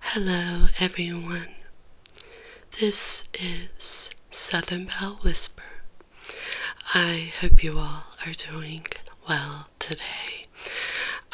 Hello, everyone. This is Southern Bell Whisper. I hope you all are doing well today.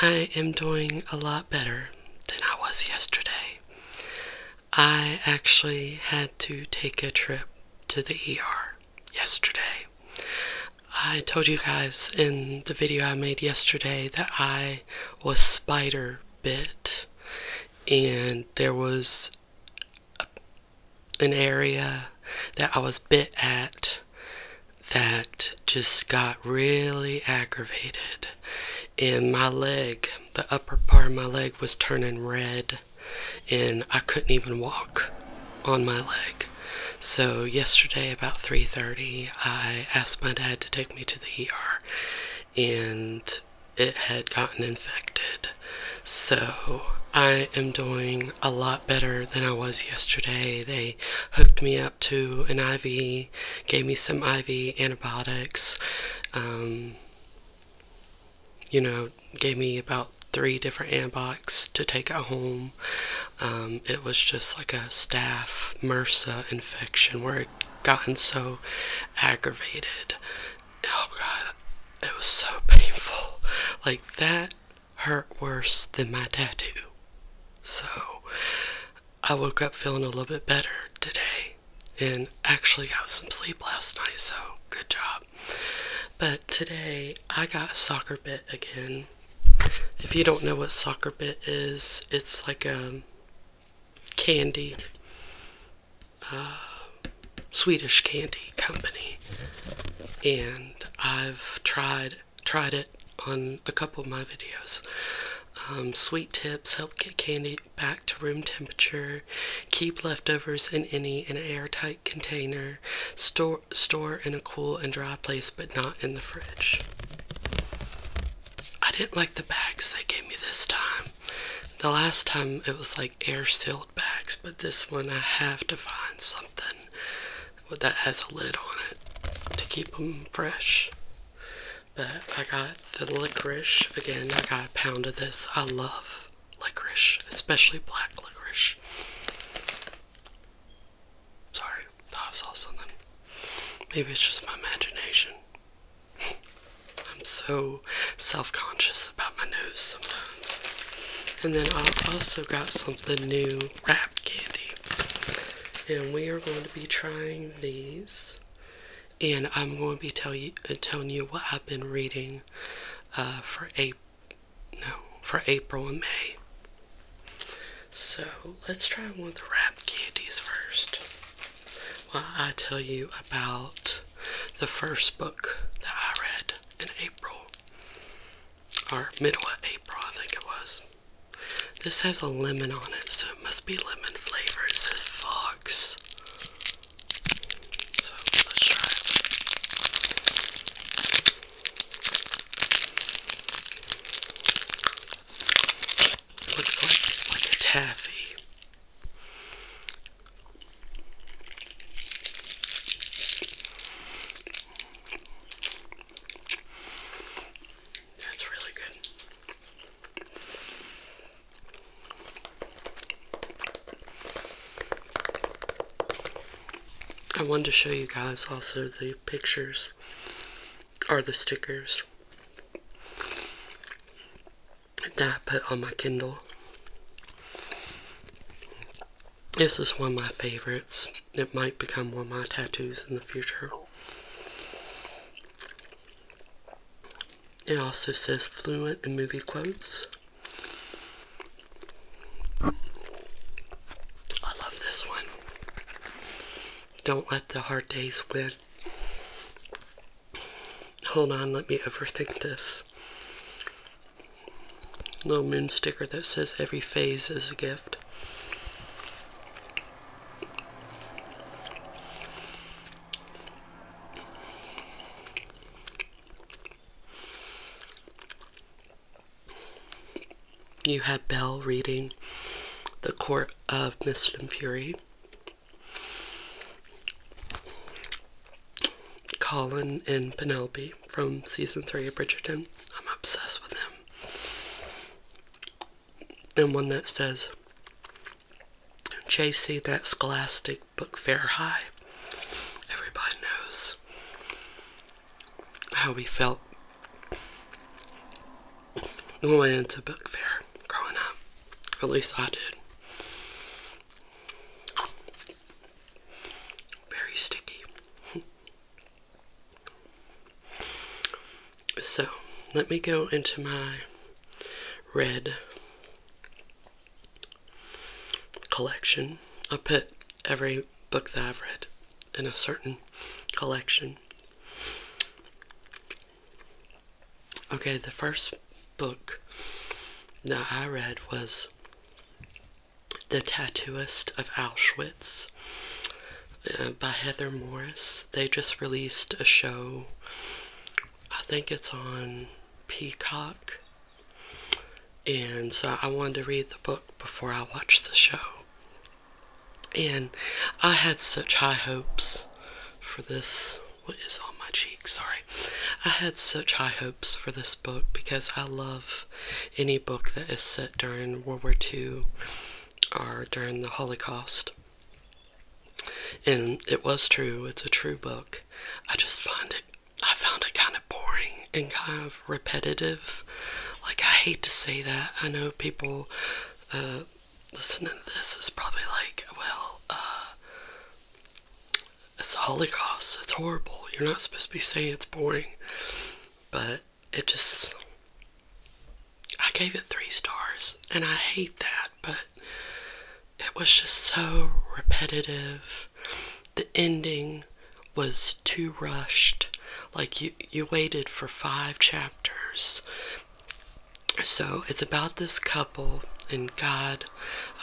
I am doing a lot better than I was yesterday. I actually had to take a trip to the ER yesterday. I told you guys in the video I made yesterday that I was spider bit, and there was an area that I was bit at that just got really aggravated, and my leg, the upper part of my leg, was turning red, and I couldn't even walk on my leg. So yesterday about 3:30 I asked my dad to take me to the ER, and it had gotten infected. So I am doing a lot better than I was yesterday. They hooked me up to an IV, gave me some IV antibiotics. Um, you know, gave me about three different antibiotics to take at home. Um, it was just like a staph MRSA infection where gotten so aggravated. Oh god, it was so painful. Like that hurt worse than my tattoo. So I woke up feeling a little bit better today and actually got some sleep last night, so good job. But today I got soccer bit again. If you don't know what soccer bit is, it's like a um, candy, uh, Swedish candy company, and I've tried tried it on a couple of my videos. Um, sweet tips help get candy back to room temperature. Keep leftovers in any an airtight container. Store store in a cool and dry place, but not in the fridge. I didn't like the bags they gave me this time. The last time it was like air sealed bags, but this one I have to find something that has a lid on it to keep them fresh. But I got the licorice. Again, I got a pound of this. I love licorice, especially black licorice. Sorry, I saw something. Maybe it's just my imagination. I'm so self conscious about my nose sometimes. And then I also got something new wrap candy. And we are going to be trying these. And I'm going to be uh, telling you what I've been reading uh, for April and May. So let's try one of the wrap candies first. While I tell you about the first book that I read in April, or mid of April, I think it was. This has a lemon on it, so it must be lemon flavor. It says Fox. So let's try it looks like, like a taffy. That's really good. I wanted to show you guys also the pictures Are the stickers that I put on my Kindle. This is one of my favorites. It might become one of my tattoos in the future. It also says fluent in movie quotes. I love this one. Don't let the hard days win. Hold on, let me overthink this. Little moon sticker that says every phase is a gift. You had Bell reading The Court of Mist and Fury. Colin and Penelope from season three of Bridgerton. I'm obsessed with them. And one that says, Chasing that scholastic book fair high. Everybody knows how we felt we went to book fair growing up. at least I did. Very sticky. so, let me go into my red collection. I put every book that I've read in a certain collection. Okay, the first book that I read was The Tattooist of Auschwitz uh, by Heather Morris. They just released a show, I think it's on Peacock. And so I wanted to read the book before I watched the show. And I had such high hopes for this. What is on my cheek? Sorry. I had such high hopes for this book because I love any book that is set during World War II or during the Holocaust. And it was true, it's a true book. I just find it, I found it kind of boring and kind of repetitive. Like, I hate to say that. I know people. Uh, listening to this is probably like, well, uh, it's a Holocaust. It's horrible. You're not supposed to be saying it's boring. But it just, I gave it three stars. And I hate that, but it was just so repetitive. The ending was too rushed. Like you, you waited for five chapters so it's about this couple and God,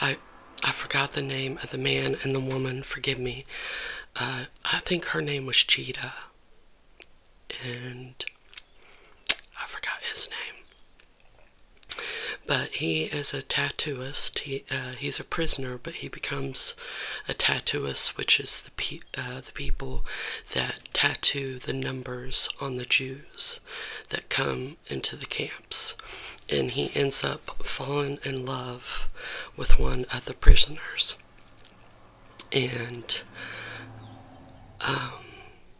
I I forgot the name of the man and the woman. Forgive me. Uh, I think her name was Cheetah, and I forgot his name. But he is a tattooist. He uh, he's a prisoner, but he becomes a tattooist, which is the uh, the people that tattoo the numbers on the Jews that come into the camps, and he ends up falling in love with one of the prisoners. And um,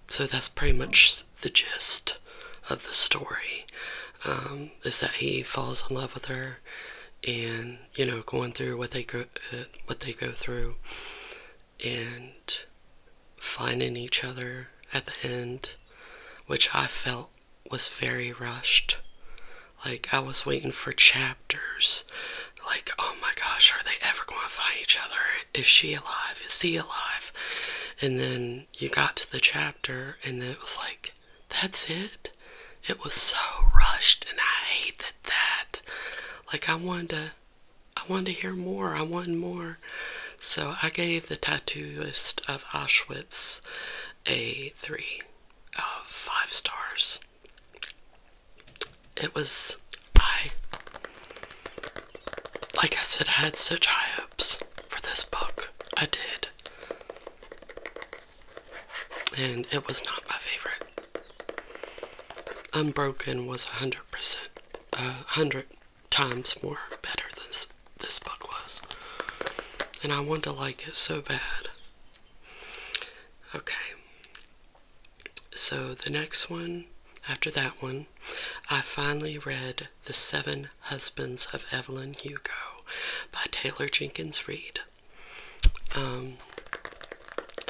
so that's pretty much the gist of the story um, is that he falls in love with her and you know going through what they go uh, what they go through and finding each other at the end, which I felt was very rushed. Like, I was waiting for chapters. Like, oh my gosh, are they ever going to find each other? Is she alive? Is he alive? And then you got to the chapter, and it was like, that's it. It was so rushed, and I hated that. Like, I wanted to I wanted to hear more. I wanted more. So I gave the tattooist of Auschwitz a three of uh, five stars. It was, I, like I said, I had such high hopes for this book. I did. And it was not my favorite. Unbroken was 100% a hundred times more better than this, book was. And I want to like it so bad. Okay. So the next one, after that one, I finally read The Seven Husbands of Evelyn Hugo by Taylor Jenkins Reid. Um,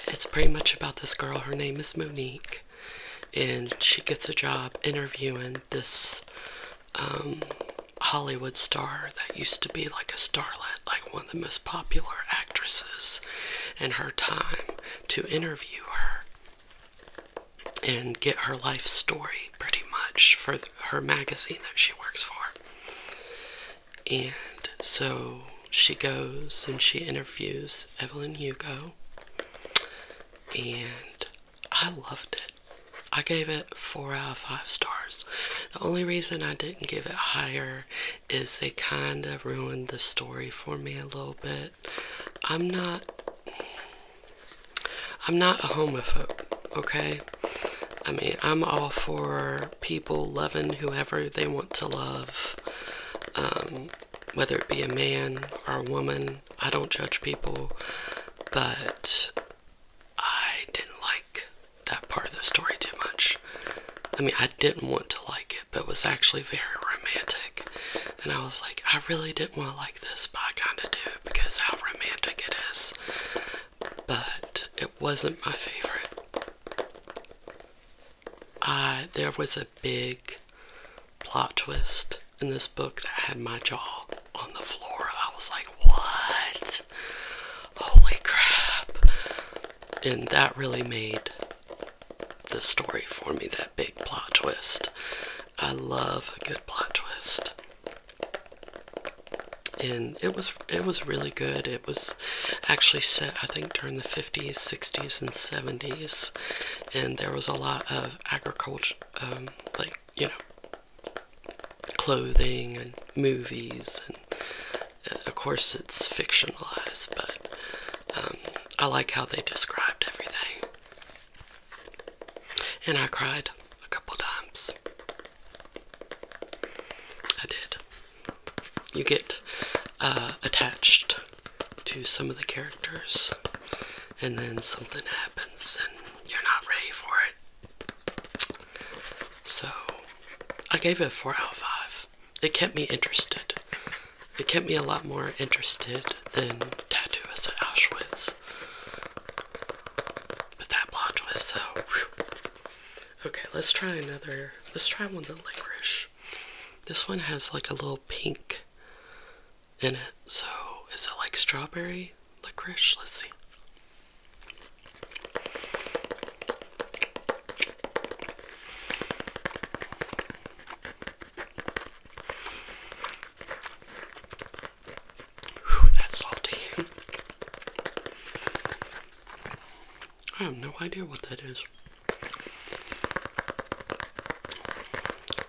it's pretty much about this girl. Her name is Monique and she gets a job interviewing this um, Hollywood star that used to be like a starlet, like one of the most popular actresses in her time, to interview her and get her life story pretty much for her magazine that she works for. And so she goes and she interviews Evelyn Hugo and I loved it. I gave it four out of five stars. The only reason I didn't give it higher is they kind of ruined the story for me a little bit. I'm not I'm not a homophobe, okay? I mean, I'm all for people loving whoever they want to love. Um, whether it be a man or a woman. I don't judge people, but I didn't like that part of the story too much. I mean, I didn't want to like it, but it was actually very romantic. And I was like, I really didn't want to like this, but I kind of do because how romantic it is. But it wasn't my favorite. I, there was a big plot twist in this book that had my jaw on the floor. I was like, what? Holy crap. And that really made the story for me, that big plot twist. I love a good plot twist. And it was it was really good. It was actually set I think during the 50s, 60s, and 70s and there was a lot of agriculture, um, like you know, clothing and movies, and uh, of course it's fictionalized, but um, I like how they described everything. And I cried a couple times. I did. You get uh, attached to some of the characters, and then something happens and you're not ready for it. So I gave it a 4 out of 5. It kept me interested. It kept me a lot more interested than Tattoo Us at Auschwitz. But that plot twist, so. Okay, let's try another. Let's try one of the licorice. This one has like a little pink in it. So, is it like strawberry licorice? Let's see. that's salty. I have no idea what that is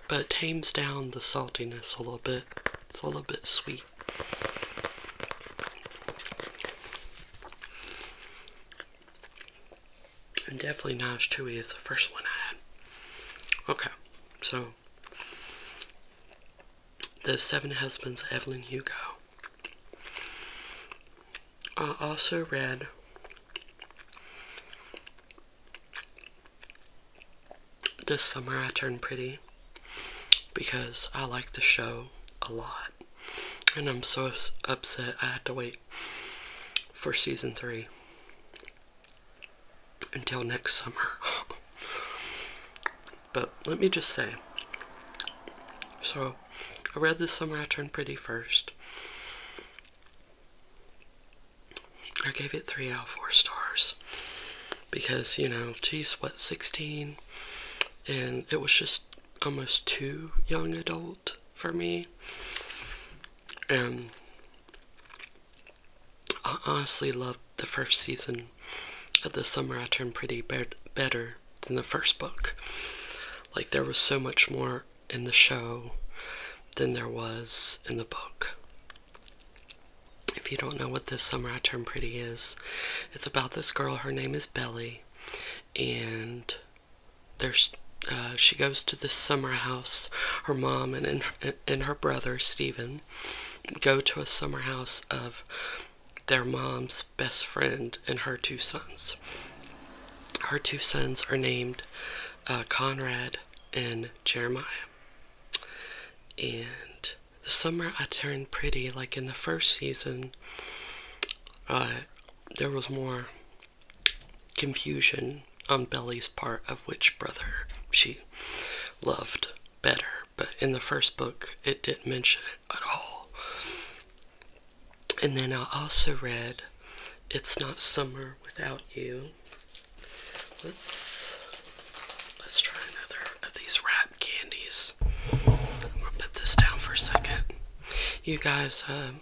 but it tames down the saltiness a little bit. It's a little bit sweet. And definitely not as is the first one I had. Okay, so The Seven Husbands, of Evelyn Hugo. I also read this summer I turned pretty because I like the show a lot. And I'm so upset I had to wait for season three until next summer. but let me just say so I read This Summer I Turned Pretty first. I gave it three out of four stars because you know, geez, what 16, and it was just almost too young adult for me. And I honestly loved the first season of The Summer I Turned Pretty better than the first book. Like, there was so much more in the show than there was in the book. If you don't know what This Summer I Turned Pretty is, it's about this girl. Her name is Belly, and there's uh, she goes to this summer house. Her mom and, and, and her brother, Stephen, go to a summer house of their mom's best friend and her two sons. Her two sons are named uh, Conrad and Jeremiah. And the summer I turned pretty, like in the first season, uh, there was more confusion on Belly's part of which brother she loved better, but in the first book it didn't mention it at all. And then I also read It's Not Summer Without You, let's let's try another of these rat candies. I'm gonna put this down for a second. You guys um,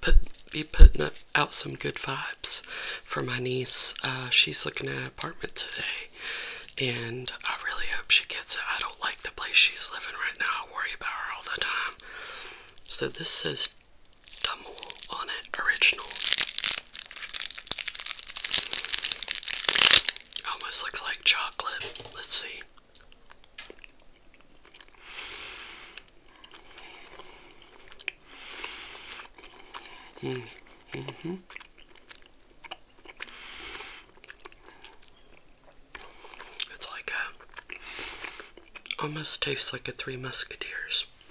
put be putting up, out some good vibes for my niece. Uh, she's looking at an apartment today, and I really hope she gets it. I don't like the place she's living right now. I worry about her all the time. So this says Damul on it original. Almost looks like chocolate. Let's see. Mm. Mm hmm It's like almost tastes like a Three Musketeers.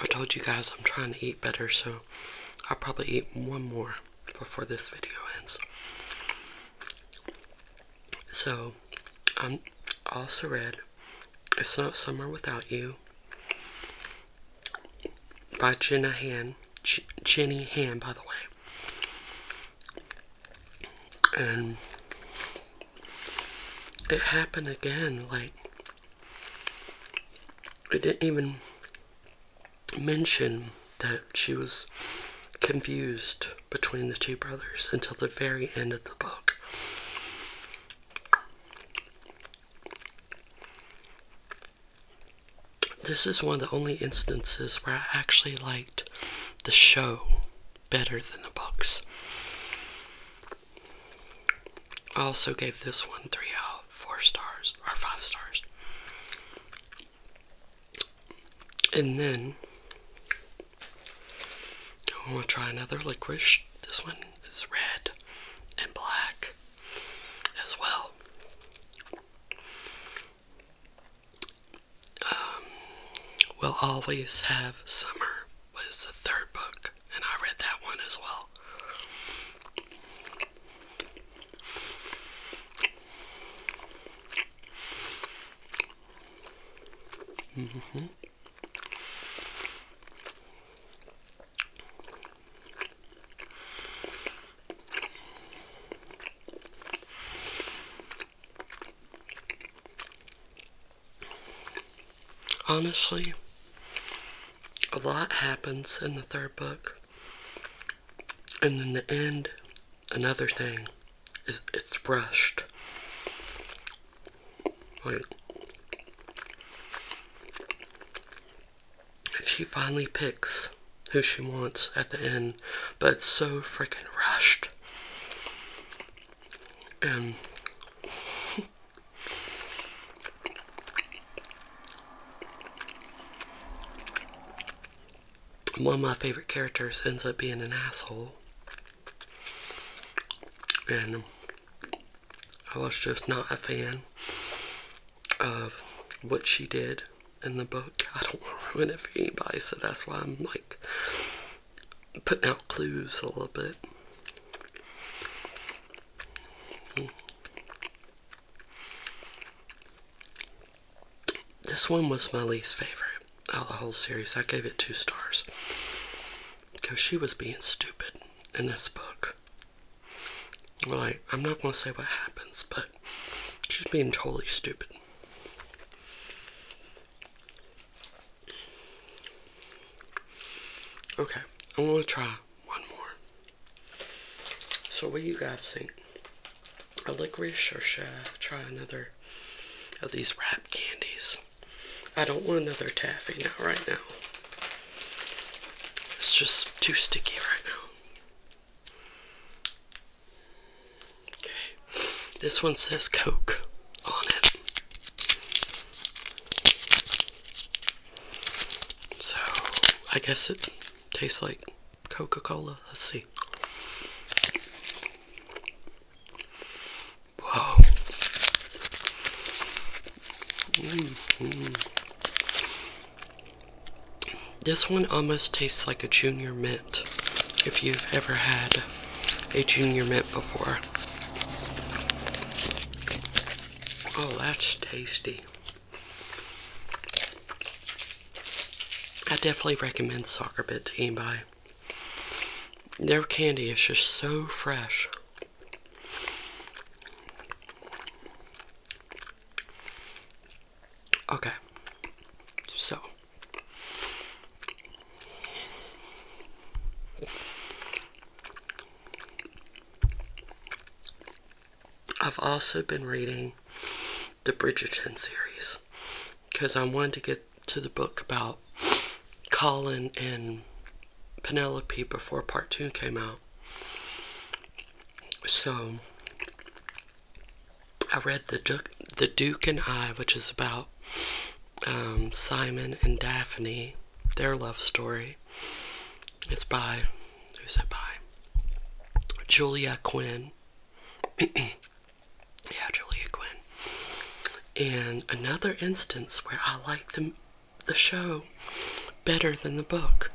I told you guys I'm trying to eat better, so I'll probably eat one more before this video ends. So, I'm also read It's Not Summer Without You by Jenna Jenny Han, by the way. And it happened again. Like, it didn't even mention that she was confused between the two brothers until the very end of the book. This is one of the only instances where I actually liked the show better than the books. I also gave this one three out of four stars or five stars. And then I want to try another licorice. This one is red and black as well. Um, we'll always have summer was the third book, and I read that one as well. Mm-hmm. Honestly, a lot happens in the third book, and in the end, another thing is it's rushed. Like, she finally picks who she wants at the end, but so freaking rushed. Um, one of my favorite characters ends up being an asshole. And I was just not a fan of what she did in the book. I don't want to ruin anybody, so that's why I'm like putting out clues a little bit. This one was my least favorite out of the whole series. I gave it two stars because she was being stupid in this book. Like, I'm not going to say what happens, but she's being totally stupid. Okay, I'm gonna try one more. So, what do you guys think? A licorice, or should I try another of these wrap candies? I don't want another taffy now, right now. It's just too sticky right now. Okay, this one says Coke on it. So, I guess it tastes like Coca Cola. Let's see. Wow. Mm-hmm. This one almost tastes like a junior mint if you've ever had a junior mint before. Oh, that's tasty. I definitely recommend Soccer Bit to anybody. Their candy is just so fresh. Okay. So. I've also been reading the Bridgerton series because I wanted to get to the book about Colin and Penelope before part two came out. So I read the Duke, the Duke and I, which is about um, Simon and Daphne their love story. It's by, who said by? Julia Quinn. yeah, Julia Quinn. And another instance where I liked the, show better than the book.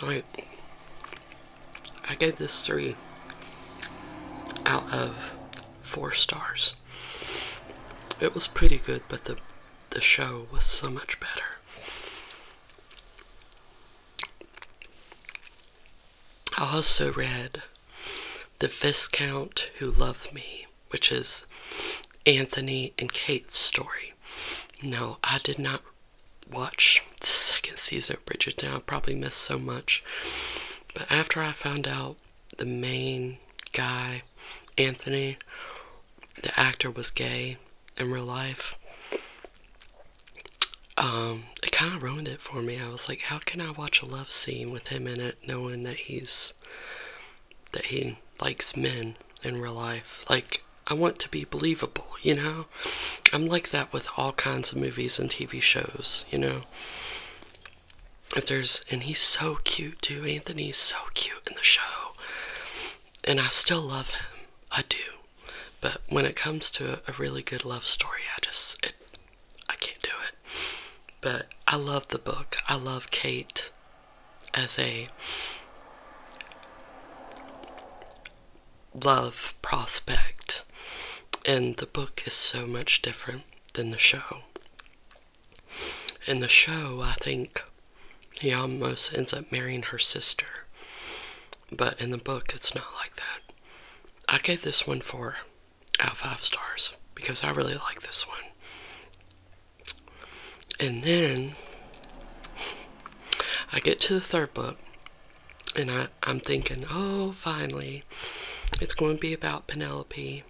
Like, I gave this three out of four stars. It was pretty good, but the the show was so much better. I also read The Viscount Who Loved Me, which is Anthony and Kate's story. No, I did not watch the second season of Bridgerton. I probably missed so much. But after I found out the main guy, Anthony, the actor was gay in real life. Um, it kind of ruined it for me. I was like, how can I watch a love scene with him in it, knowing that he's that he likes men in real life? Like, I want to be believable, you know. I'm like that with all kinds of movies and TV shows, you know if there's and he's so cute too anthony is so cute in the show and i still love him i do but when it comes to a, really good love story i just i can't do it but i love the book i love kate as a love prospect and the book is so much different than the show in the show, I think he almost ends up marrying her sister. But in the book, it's not like that. I gave this one four out of five stars because I really like this one. And then I get to the third book and I, I'm thinking, oh, finally, it's going to be about Penelope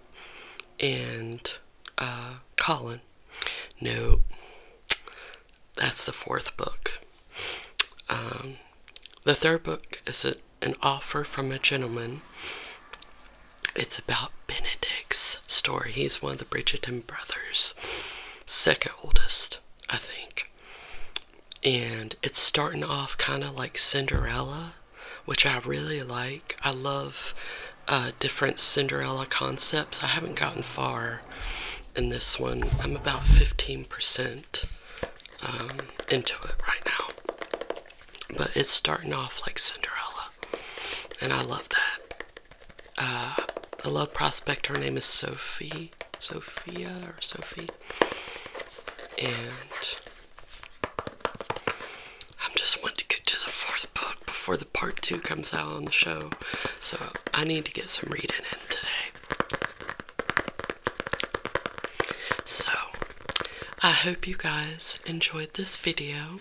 and uh, Colin. No, that's the fourth book. Um, the third book is an offer from a gentleman. It's about Benedict's story. He's one of the Bridgerton brothers, second oldest, I think. And it's starting off kind of like Cinderella which I really like. I love uh, different Cinderella concepts. I haven't gotten far in this one. I'm about 15% um, into it right now. But it's starting off like Cinderella, and I love that. Uh, I love Prospect. Her name is Sophie, Sophia or Sophie, and I'm just wanting to get to the fourth book before the part two comes out on the show. So I need to get some reading in today. So I hope you guys enjoyed this video.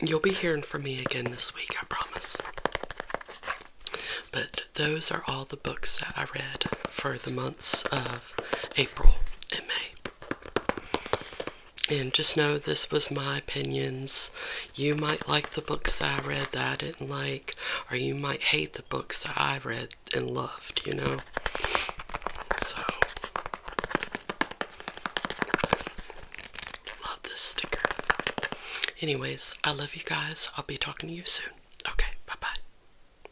You'll be hearing from me again this week, I promise. But those are all the books that I read for the months of April and May. And just know this was my opinions. You might like the books I read that I didn't like, or you might hate the books that I read and loved, you know? So, love this sticker. Anyways, I love you guys. I'll be talking to you soon. Okay, bye bye.